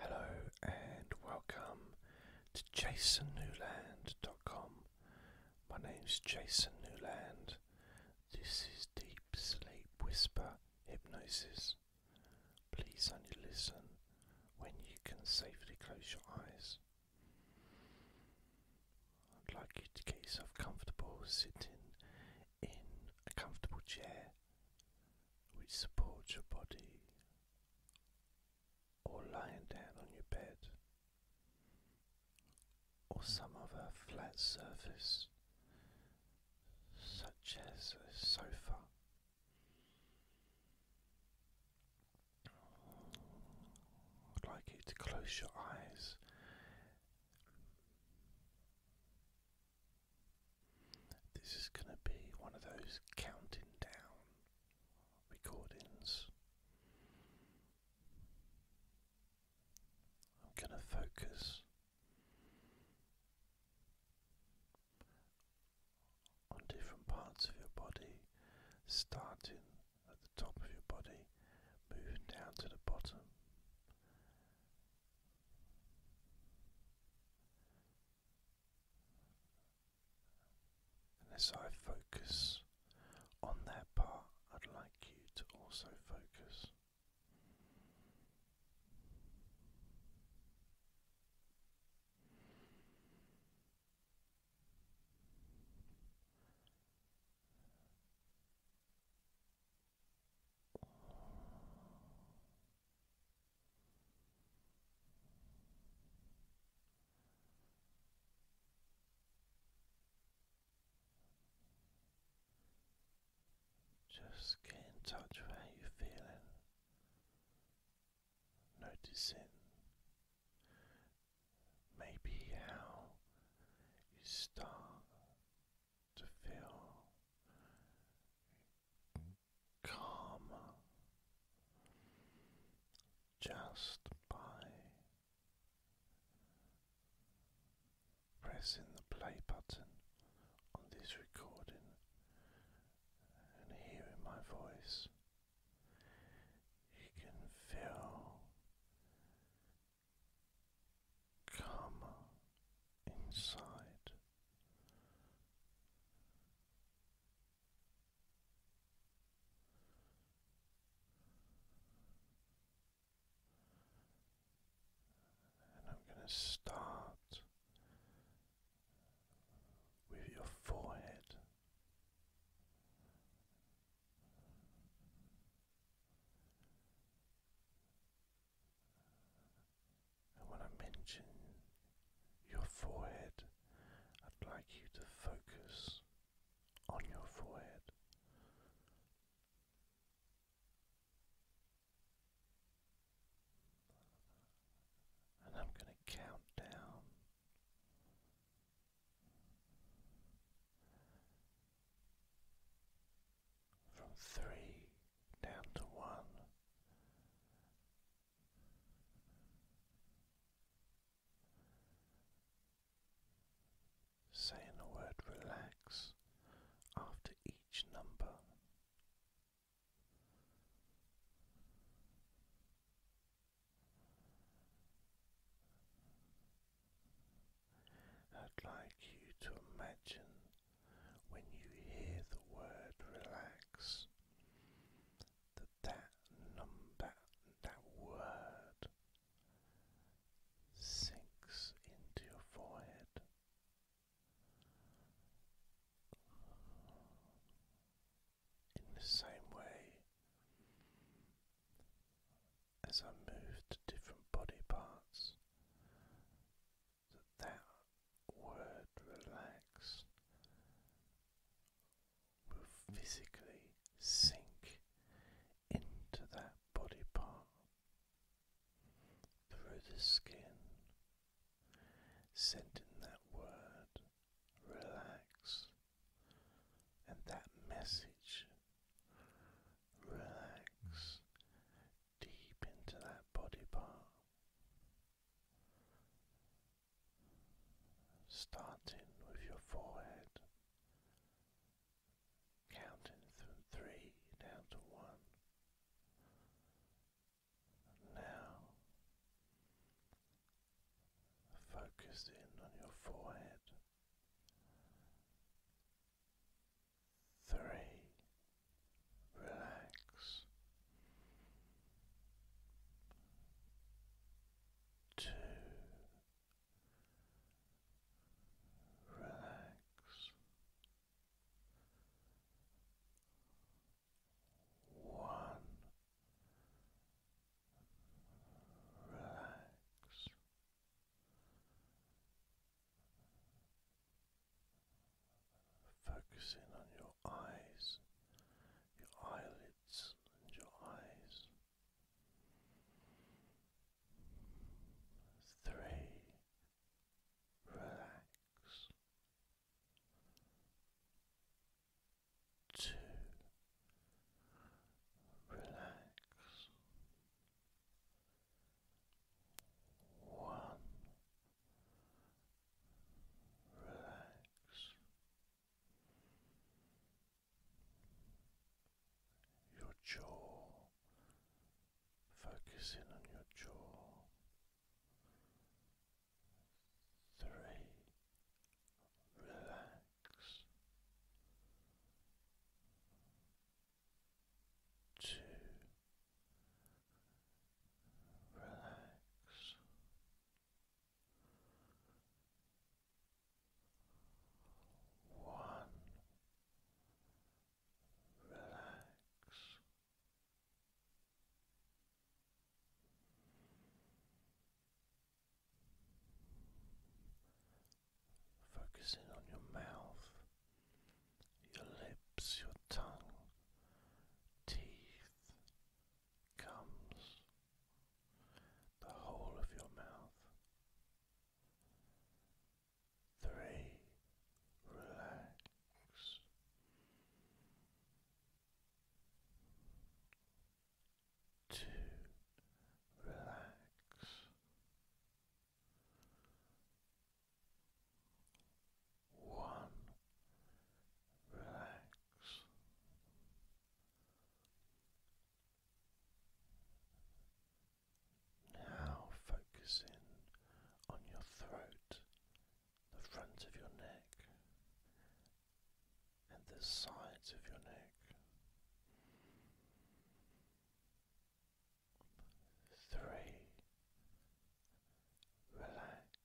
Hello and welcome to jasonnewland.com. My name's Jason Newland. This is Deep Sleep Whisper Hypnosis. Please only listen when you can safely close your eyes. I'd like you to get yourself comfortable sitting in a comfortable chair which supports your body, or lying down on your bed, or some other flat surface, such as a sofa. I'd like you to close your eyes this is going to be one of those counting down recordings. I'm going to focus on different parts of your body, starting at the top of your body, moving down to the bottom. And as I focus on that part, I'd like you to also focus. Just get in touch with how you're feeling, noticing maybe how you start to feel calm just by pressing the play button on this recording and hearing my voice. You can feel calmer inside. And I'm going to start with your forehead. And when I mention your forehead, I'd like you to focus on your forehead. And I'm going to count down. From three down to one. Saying the word relax after each number. I'd like you to imagine when you hear the word relax, that that number, that word sinks into your forehead. In the same way as I move to different body parts, that word relax will physically sink into that body part through the skin, sending that word relax and that message relax deep into that body part, starting with your forehead, counting from three down to one. now, focus in on your forehead three, relax, two, relax. One relax Focusing on your eyes, your eyelids, and your eyes. Three, relax. Two, relax one. Relax. Your jaw, focus on your jaw. Three, relax to relax. One, relax focusing on your mouth, your lips, your tongue, teeth, gums, the whole of your mouth. Three, relax. Two, relax. One, relax. Now focusing on your throat, the front of your neck, and the sides of your neck three, relax,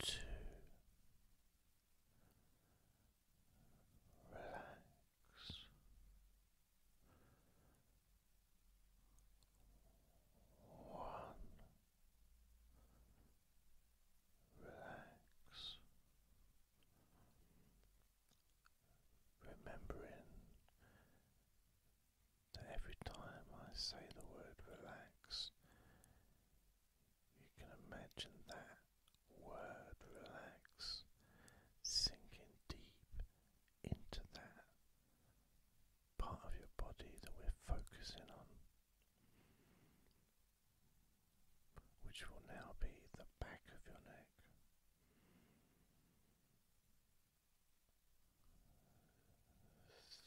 two, relax, one. Relax Remembering that every time I say the word relax, you can imagine that word relax sinking deep into that part of your body that we're focusing on which will now be the back of your neck.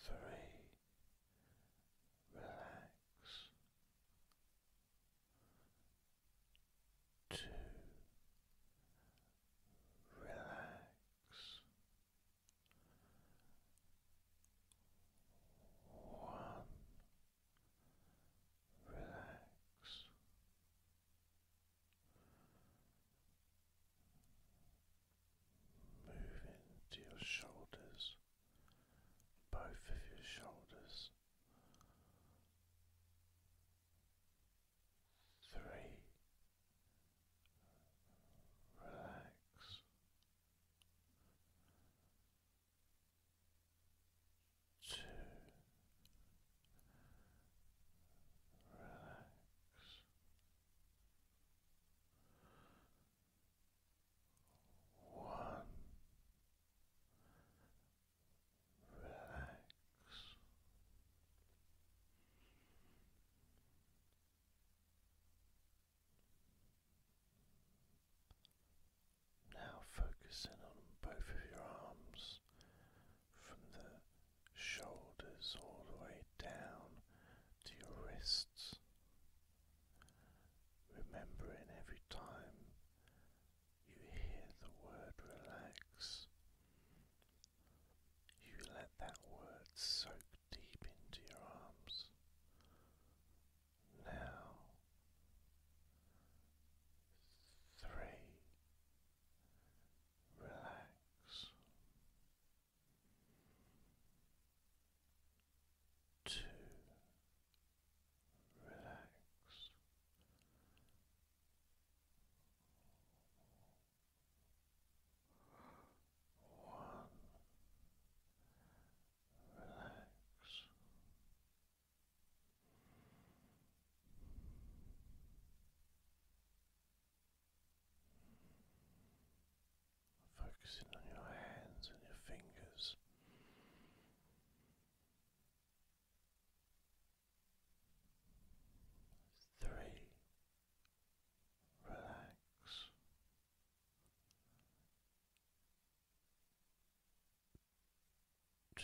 Three, relax. Two, relax. One, relax. Moving to your shoulders, both of your shoulders, three, relax, Two. relax. One, relax. Now focusing on both of your arms from the shoulders all the way down to your wrists. Remembering every time you hear the word relax, you let that word soak deep into your arms now three relax two relax one relax Focusing on your hands and your fingers. Three, relax to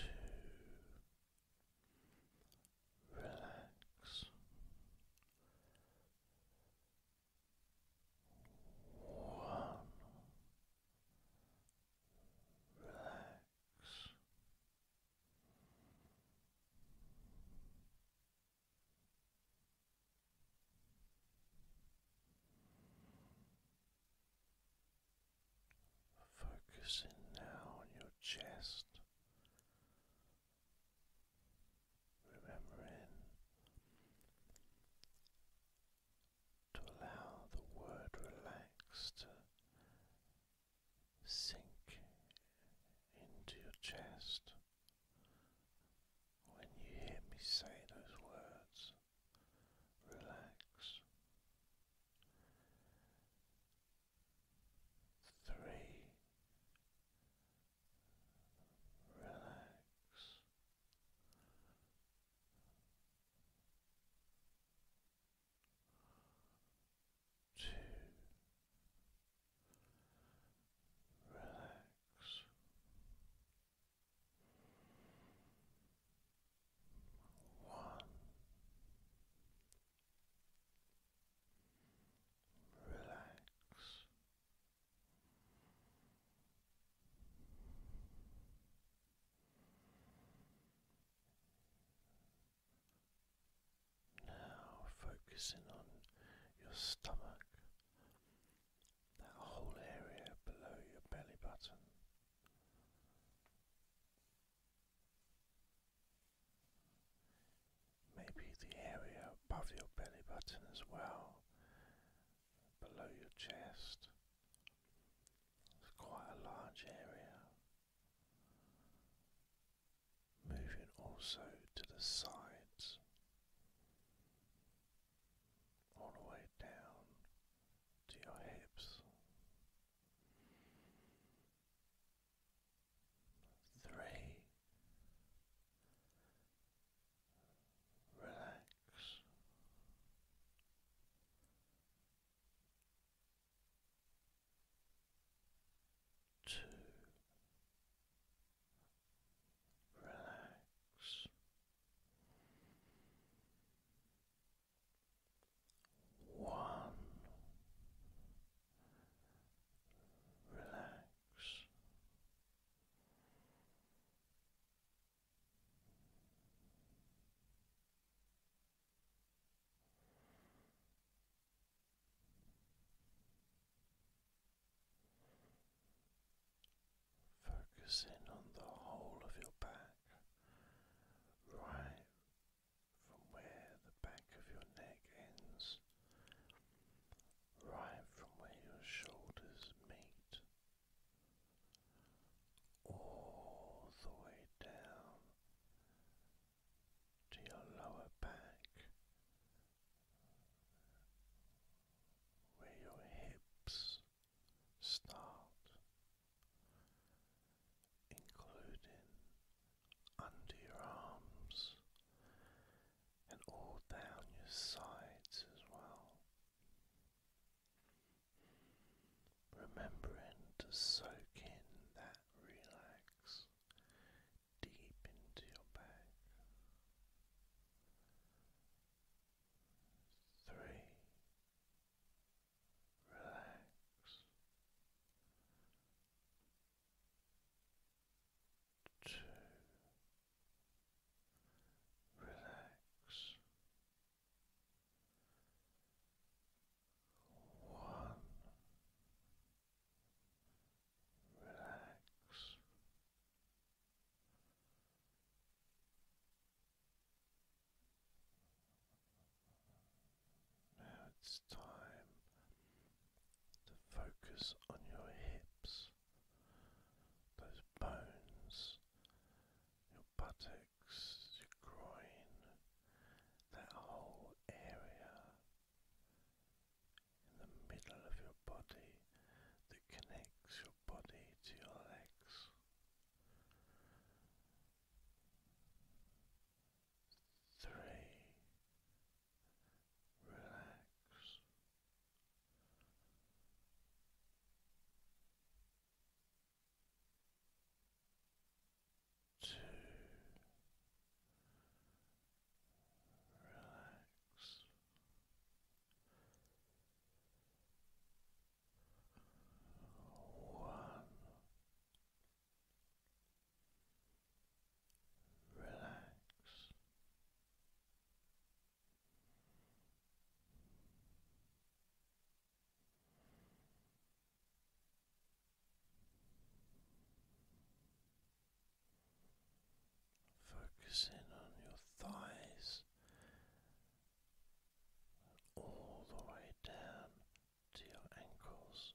relax. One, relax. Focusing now on your chest, remembering to allow the word relax to sink into your chest. When you hear me say those words, relax. Three, relax. Two, relax. Relax. Now focusing on your stomach that whole area below your belly button. Maybe the area above your belly button as well, below your chest. It's quite a large area. Moving also to the sides all the way down to your hips. Three. Relax. Two. Relax. One, relax. Focusing on the whole of your back, right from where the back of your neck ends, right from where your shoulders meet, all the way down to your lower back, where your hips start, including under your arms and all down your sides as well. Remembering to soak in that relax deep into your back three. Relax. Two. Relax. One. Relax. Now it's time to focus on your hips, those bones, your buttocks, your groin, that whole area in the middle of your body that connects your your body to your legs. Three, relax. Two, relax relax. Two, Focusing on your thighs all the way down to your ankles.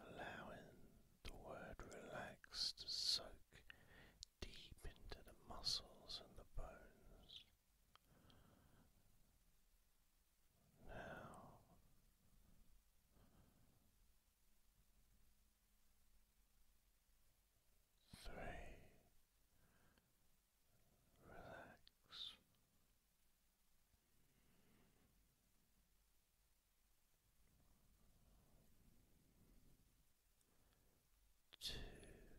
Allowing the word relax to soak deep into the muscles and the bones. Now three relax. Two relax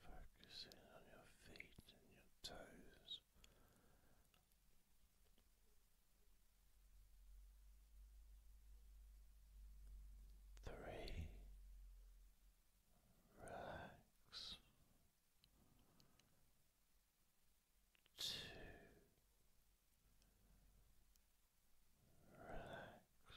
Focusing on your feet and your toes. Three, relax. Two, relax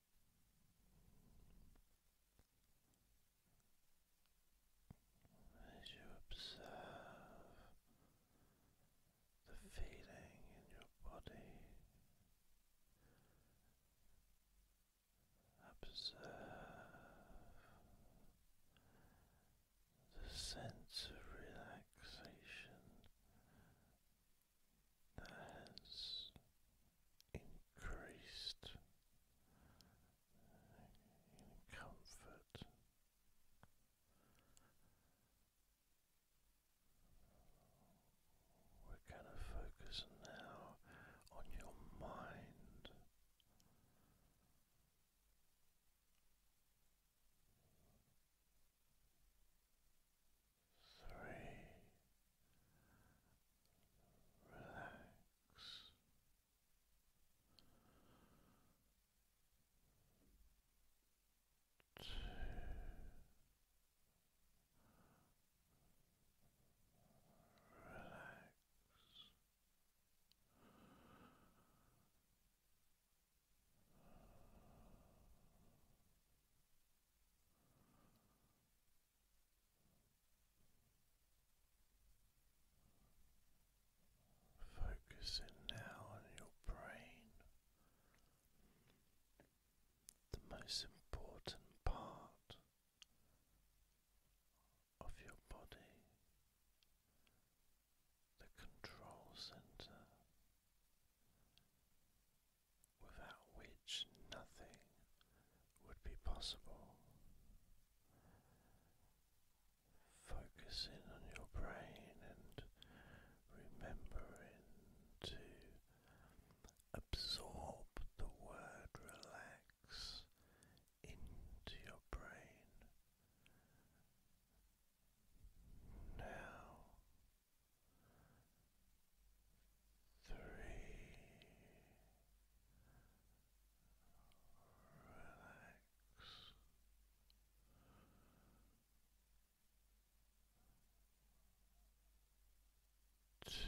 As you observe the feeling in your body, observe the sense of relaxation that has increased comfort. We're going to focus now on your mind. Three relax. Two. Relax. Focusing now on your brain, the most important part of your body, the control center without which nothing would be possible. Focusing on your brain and remembering to absorb the word relax into your brain. Now three. Relax. Two. Relax.